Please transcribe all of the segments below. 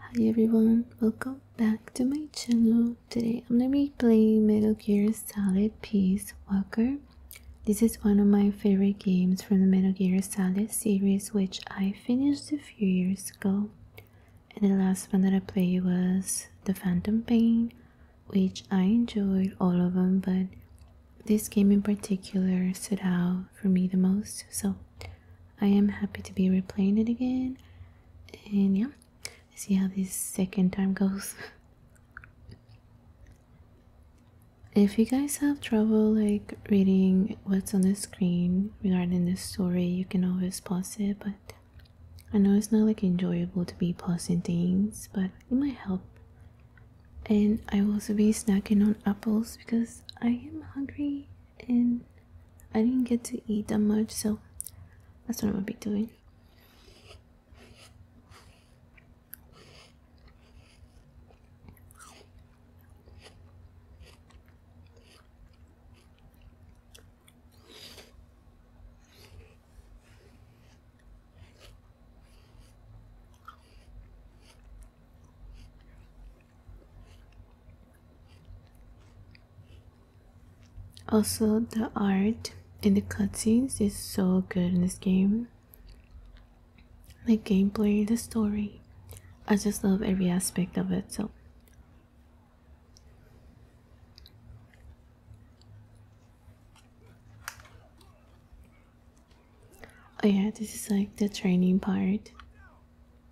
Hi everyone, welcome back to my channel. Today I'm gonna be playing Metal Gear Solid Peace Walker. This is one of my favorite games from the Metal Gear Solid series which I finished a few years ago. And the last one that I played was The Phantom Pain which I enjoyed all of them but this game in particular stood out for me the most so I am happy to be replaying it again. And yeah, see how this second time goes. if you guys have trouble like reading what's on the screen regarding the story, you can always pause it. But I know it's not like enjoyable to be pausing things, but it might help. And I will also be snacking on apples because I am hungry and I didn't get to eat that much, so that's what I'm gonna be doing. Also, the art and the cutscenes is so good in this game. The gameplay, the story. I just love every aspect of it. So, oh, yeah, this is like the training part.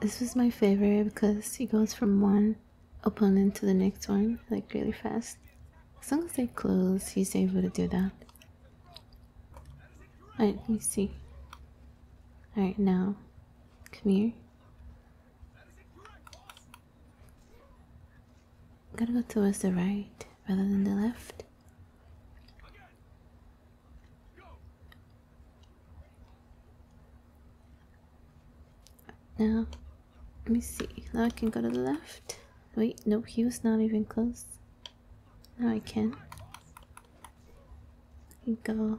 This was my favorite because he goes from one opponent to the next one like really fast. As long as they close, he's able to do that. Alright, let me see. Alright, now. Come here. I'm to go towards the right rather than the left. Now, let me see. Now I can go to the left. Wait, no, he was not even close. Now I can go.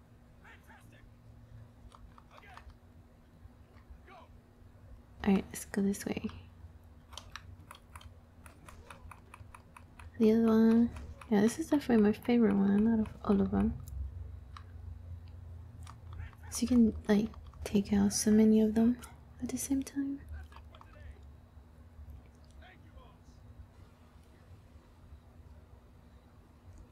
Alright, let's go this way. The other one. Yeah, this is definitely my favorite one out of all of them. So you can, like, take out so many of them at the same time.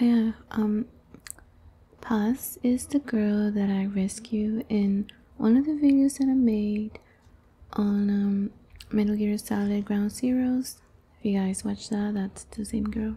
Oh yeah, um Paz is the girl that I rescue in one of the videos that I made on um, Metal Gear Solid Ground Zeroes. If you guys watch that, that's the same girl.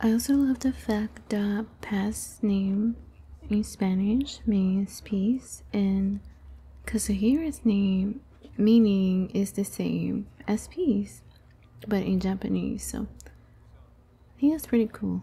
I also love the fact that Pat's name in Spanish means peace and Kazuhira's name meaning is the same as peace but in Japanese so I think that's pretty cool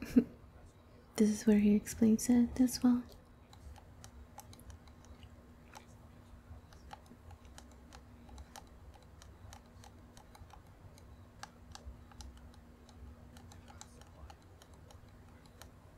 this is where he explains it as well.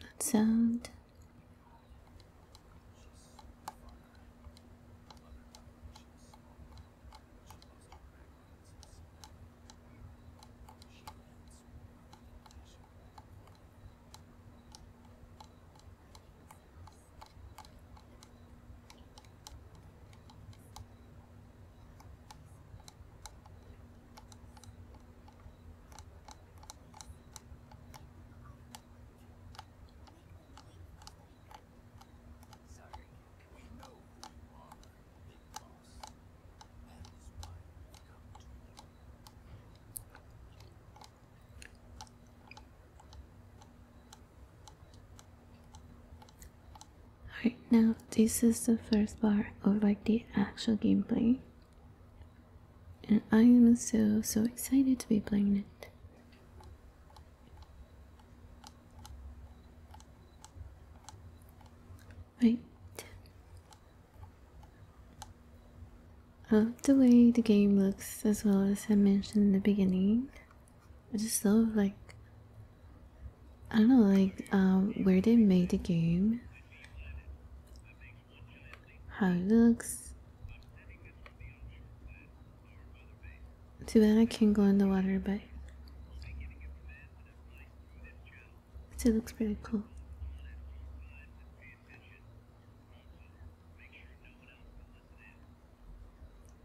that sound. Alright, now this is the first part of like the actual gameplay and I am so so excited to be playing it. Right. Uh, the way the game looks, as well as I mentioned in the beginning, I just love like I don't know, like um, where they made the game how it looks. Too bad I can't go in the water, but it looks pretty cool.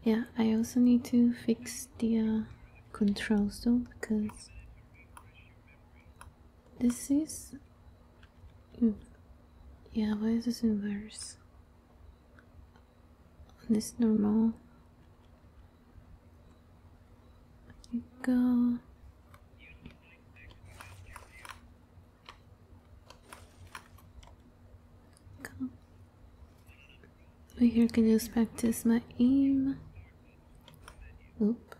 Yeah, I also need to fix the uh, controls though because this is. Mm, yeah, why is this inverse? This normal. Here go. Come. here, I can just practice my aim. Oop.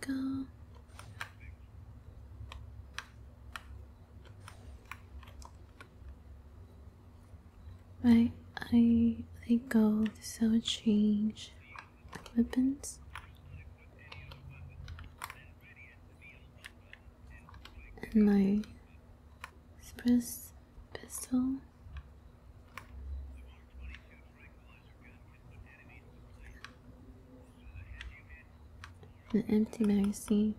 Go. Right, I I go to sell change weapons. And my express pistol. An empty magazine.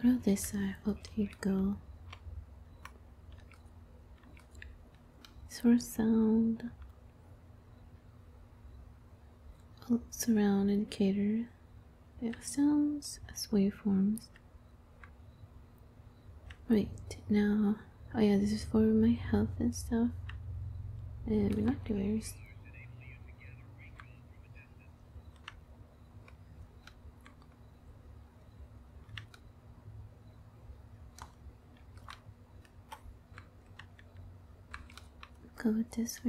What are this? I hope you go. Sort sound. Oh, surround indicator. They are sounds as waveforms. Right, now, oh yeah, this is for my health and stuff. And we're not doing. with this for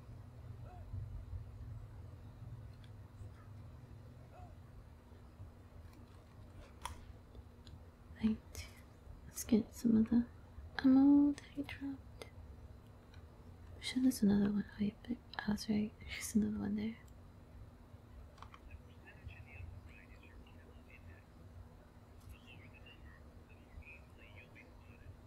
Right, let's get some of the ammo that he dropped. I'm sure there's another one. Oh, yeah, but I oh, was right. There's another one there.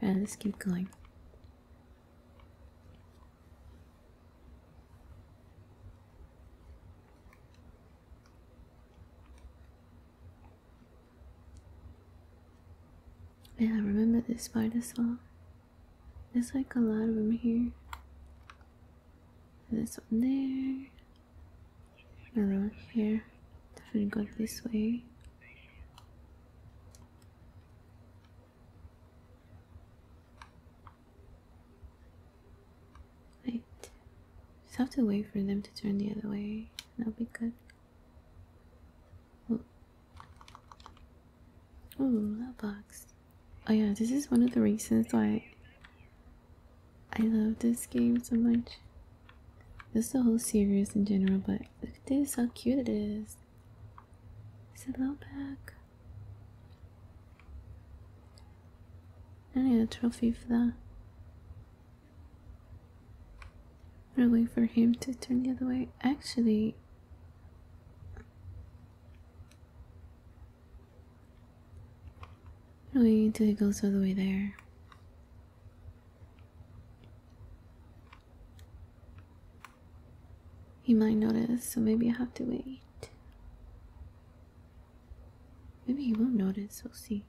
And let's keep going. Yeah, remember this spider saw? There's like a lot of them here. This one there around here. Definitely go this way. Right. Just have to wait for them to turn the other way. That'll be good. oh that box. Oh yeah, this is one of the reasons why I love this game so much. Just the whole series in general, but look at this, how cute it is. It's a little back. I need a trophy for that. I'm wait for him to turn the other way. Actually, wait until he goes all the way there. He might notice, so maybe I have to wait. Maybe he won't notice, we'll see.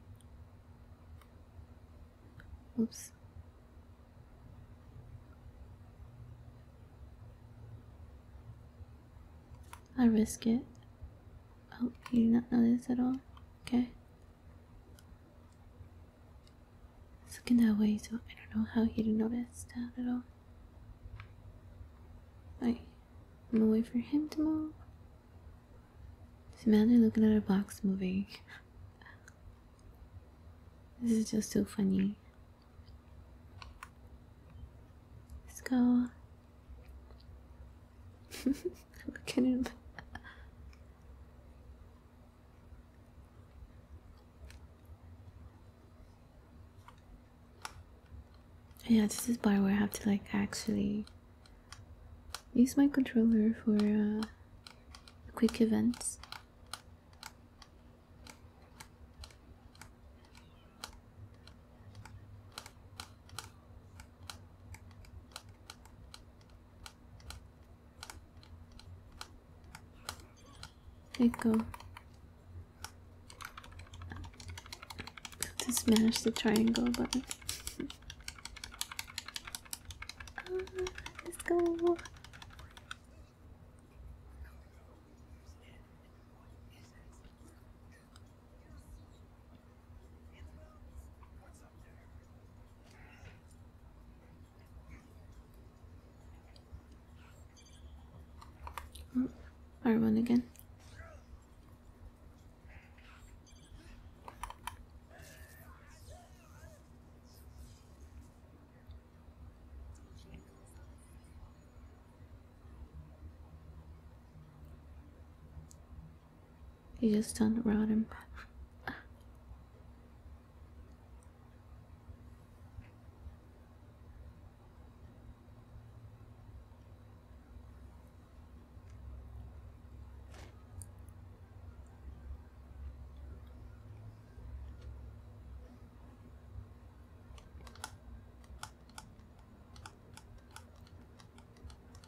Oops. I risk it. Oh, you did not notice at all. Okay. It's looking that way, so I don't know how he didn't notice that at all. I'm waiting for him to move. Just imagine looking at a box moving. this is just so funny. Let's go yeah, this is part where I have to like actually use my controller for uh, quick events go. to smash the triangle button. Oh, let's go. Oh, one again. He just turned around and back.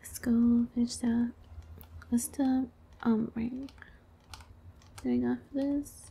Let's go finish that. What's the um right. Getting off got this?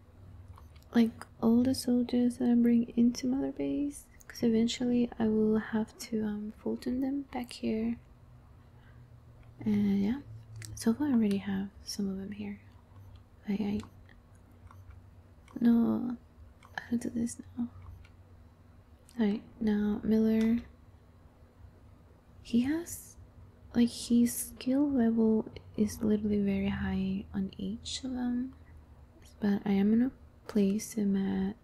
like all the soldiers that I bring into Mother Base, because eventually I will have to um, Fulton them back here. And yeah, so far I already have some of them here. I no, I'll do this now? Alright, now Miller. He has like his skill level is literally very high on each of them but I am gonna place him at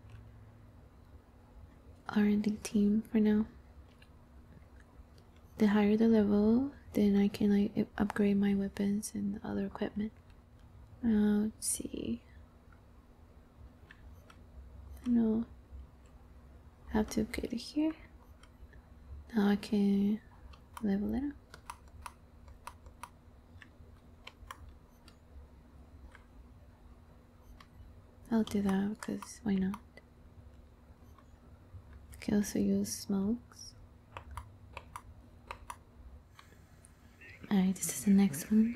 R&D team for now. The higher the level, then I can like upgrade my weapons and other equipment. Uh, let's see. No, I have to get it here. Now I can level it up. I'll do that because why not? You can also use smokes. Alright, this is the next one.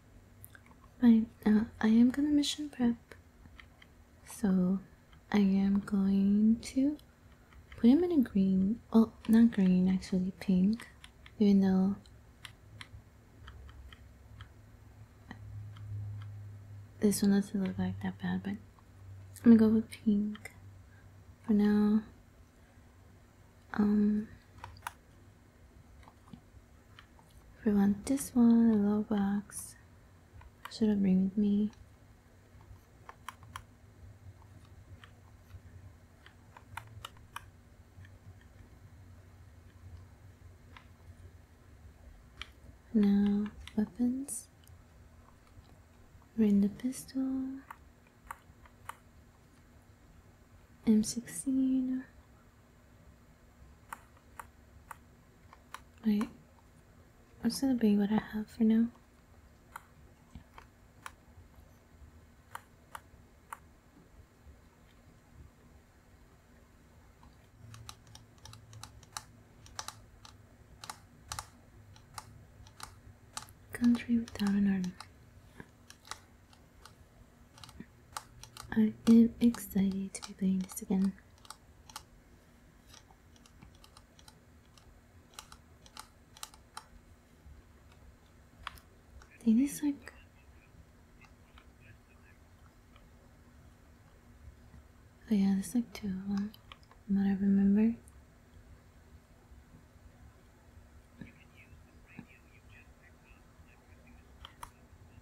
But uh, I am gonna mission prep. So I am going to put him in a green. Oh, not green, actually pink. Even though this one doesn't look like that bad, but I'm gonna go with pink for now. Um, if we want this one, a low box, should I bring with me? No weapons. Bring the pistol. M16. Right. That's gonna be what I have for now. Country without an army. I am excited to be playing this again. It is like Oh yeah, there's like two of them, from what I remember.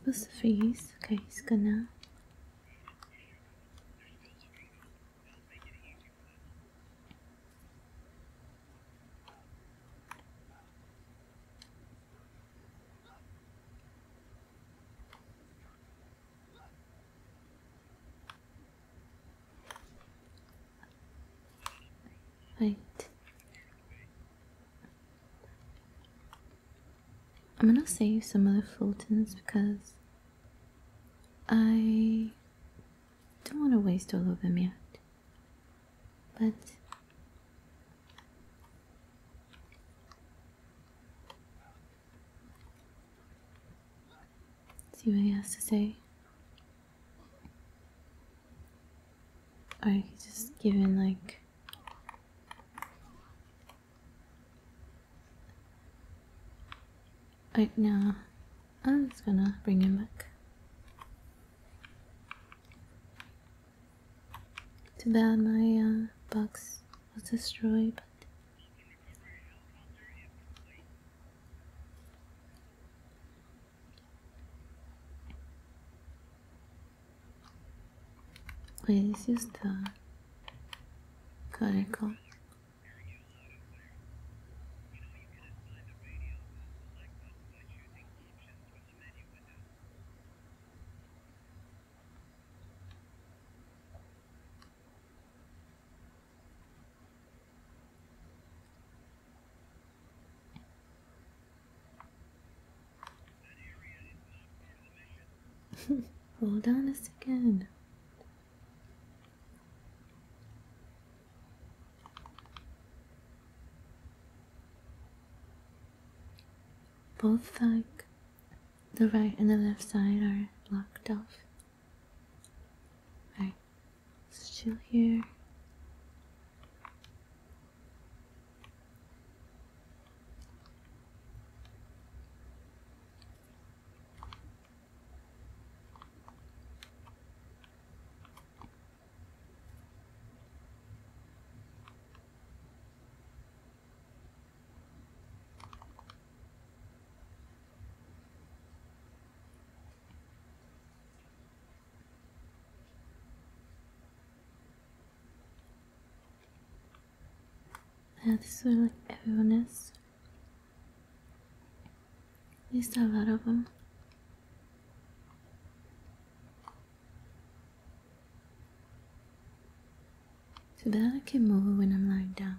Supposed to freeze. Okay, he's gonna. Right. I'm gonna save some of the Fultons because I don't want to waste all of them yet. But See what he has to say? Or oh, you just give in like Right now, I'm just gonna bring him back. Too bad my uh, box was destroyed, but Please this? the cuticle. Hold on a second. Both like the right and the left side are blocked off. Alright, let here. Yeah, this everyone is. At a lot of them. Too bad I can move when I'm lying down.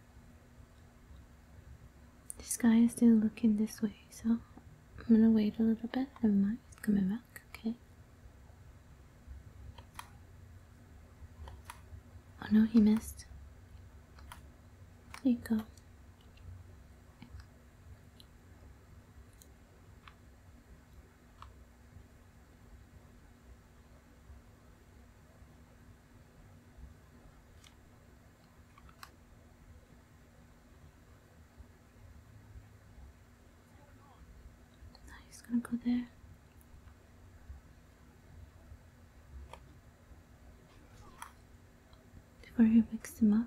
This guy is still looking this way, so I'm gonna wait a little bit. Never mind, he's coming back, okay. Oh no, he missed. There you go. Now he's gonna go there. Before he wakes him up.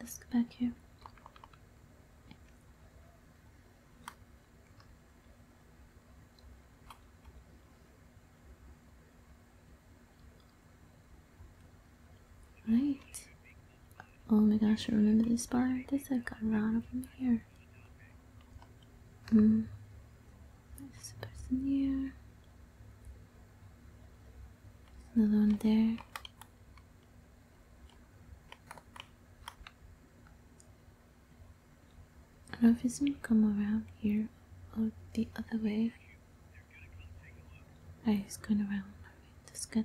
Let's go back here. Right. Oh my gosh, I remember this bar. This I got around over here. Hmm. There's a person here. another one there if he's gonna come around here or the other way. I he's going around. Alright, that's good.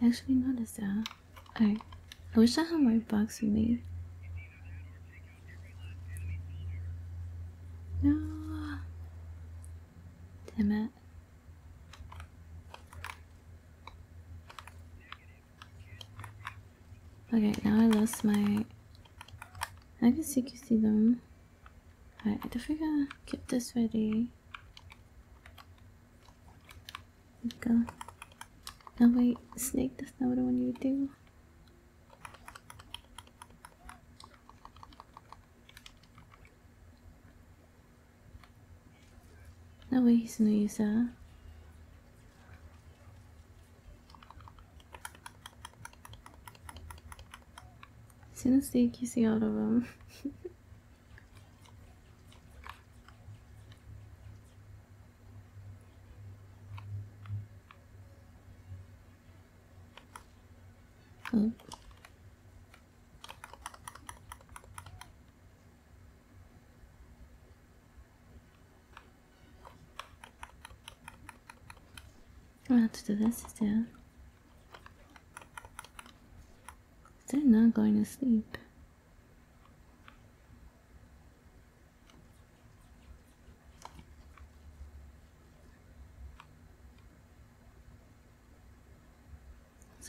I actually noticed that. I, I wish I had my box with me. No. Damn it. Okay, now I lost my. I guess you can see them. Alright, I gotta keep this ready. Go. Oh wait, snake, that's not what I want you to do. No way he's gonna use all of them. Um, 嗯。I have to do this instead. They're not going to sleep.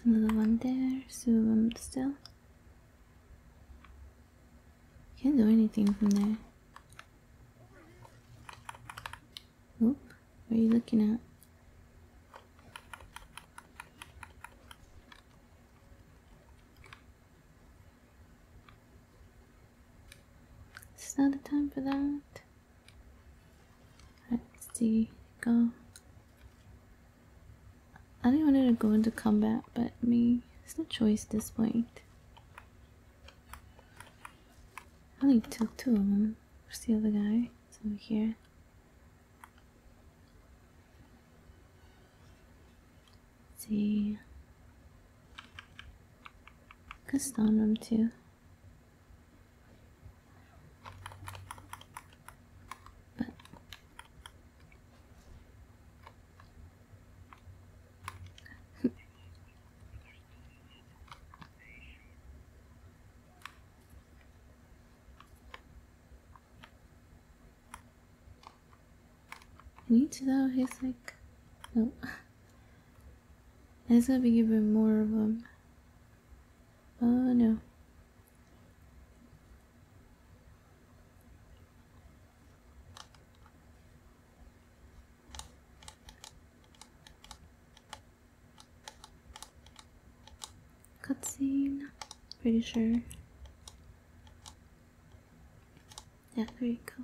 There's another one there, so I'm still. Can't do anything from there. Oop, what are you looking at? It's not the time for that. Let's see, go. I didn't want to go into combat, but me, it's no choice at this point. I only took two of them. Where's the other guy? It's over here see Castanum too. But neat though he's like no it's gonna be even more of them oh no cutscene. Pretty sure. Yeah, there you go.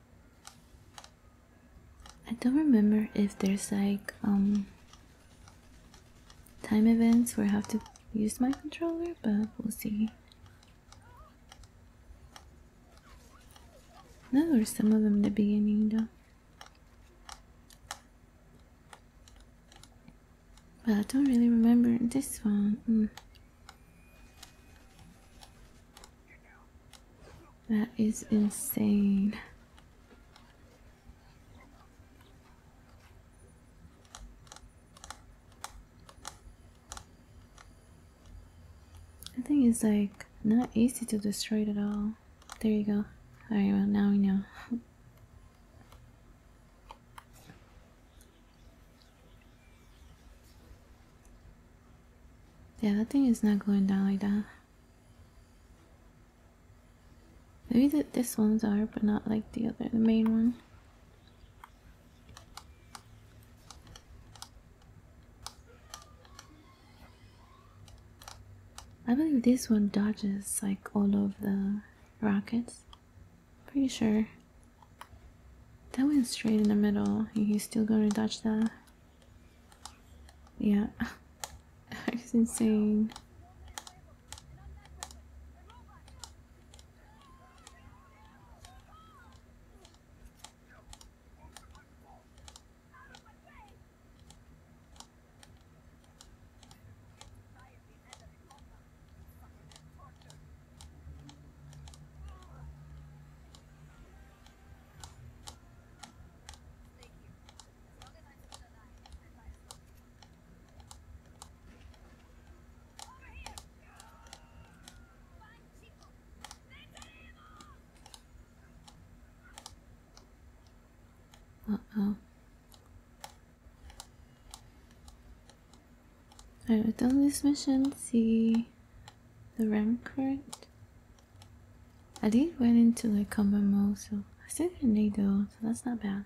I don't remember if there's like um time events where I have to use my controller, but we'll see. No, there's some of them in the beginning though. But I don't really remember this one. Hmm. That is insane. I think it's like not easy to destroy it at all. There you go. Alright, well now we know. Yeah, that thing is not going down like that. Maybe that this ones are, but not like the other, the main one. I believe this one dodges like all of the rockets. Pretty sure. That went straight in the middle. He's still gonna dodge that. Yeah. it's insane. Uh-oh. Alright, we've done this mission. See the rem current. I did went into like combo mode, so I still didn't need though, so that's not bad.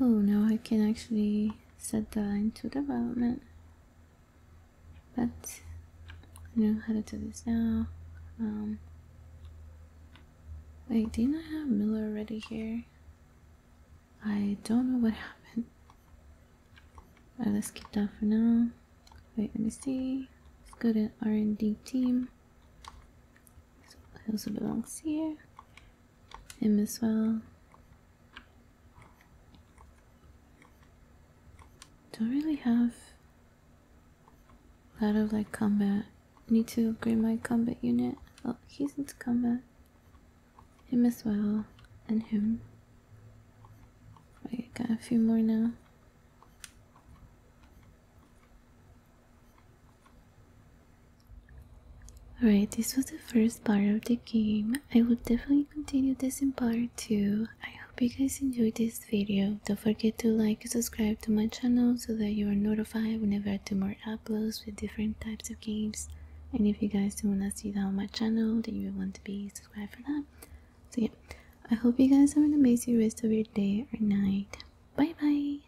Oh, now I can actually set that into development. But I know how to do this now. Um, wait, did I have Miller ready here? I don't know what happened. Alright, let's keep that for now. Wait, let me see. Let's go to R&D team. So it also belongs here. Him as well. Don't really have a lot of like combat. Need to upgrade my combat unit. Oh, he's into combat. Him as well. And him. I got a few more now. Alright, this was the first part of the game. I will definitely continue this in part 2. I hope you guys enjoyed this video. Don't forget to like and subscribe to my channel so that you are notified whenever I do more uploads with different types of games. And if you guys do want to see that on my channel, then you will want to be subscribed for that. So yeah, I hope you guys have an amazing rest of your day or night. Bye bye!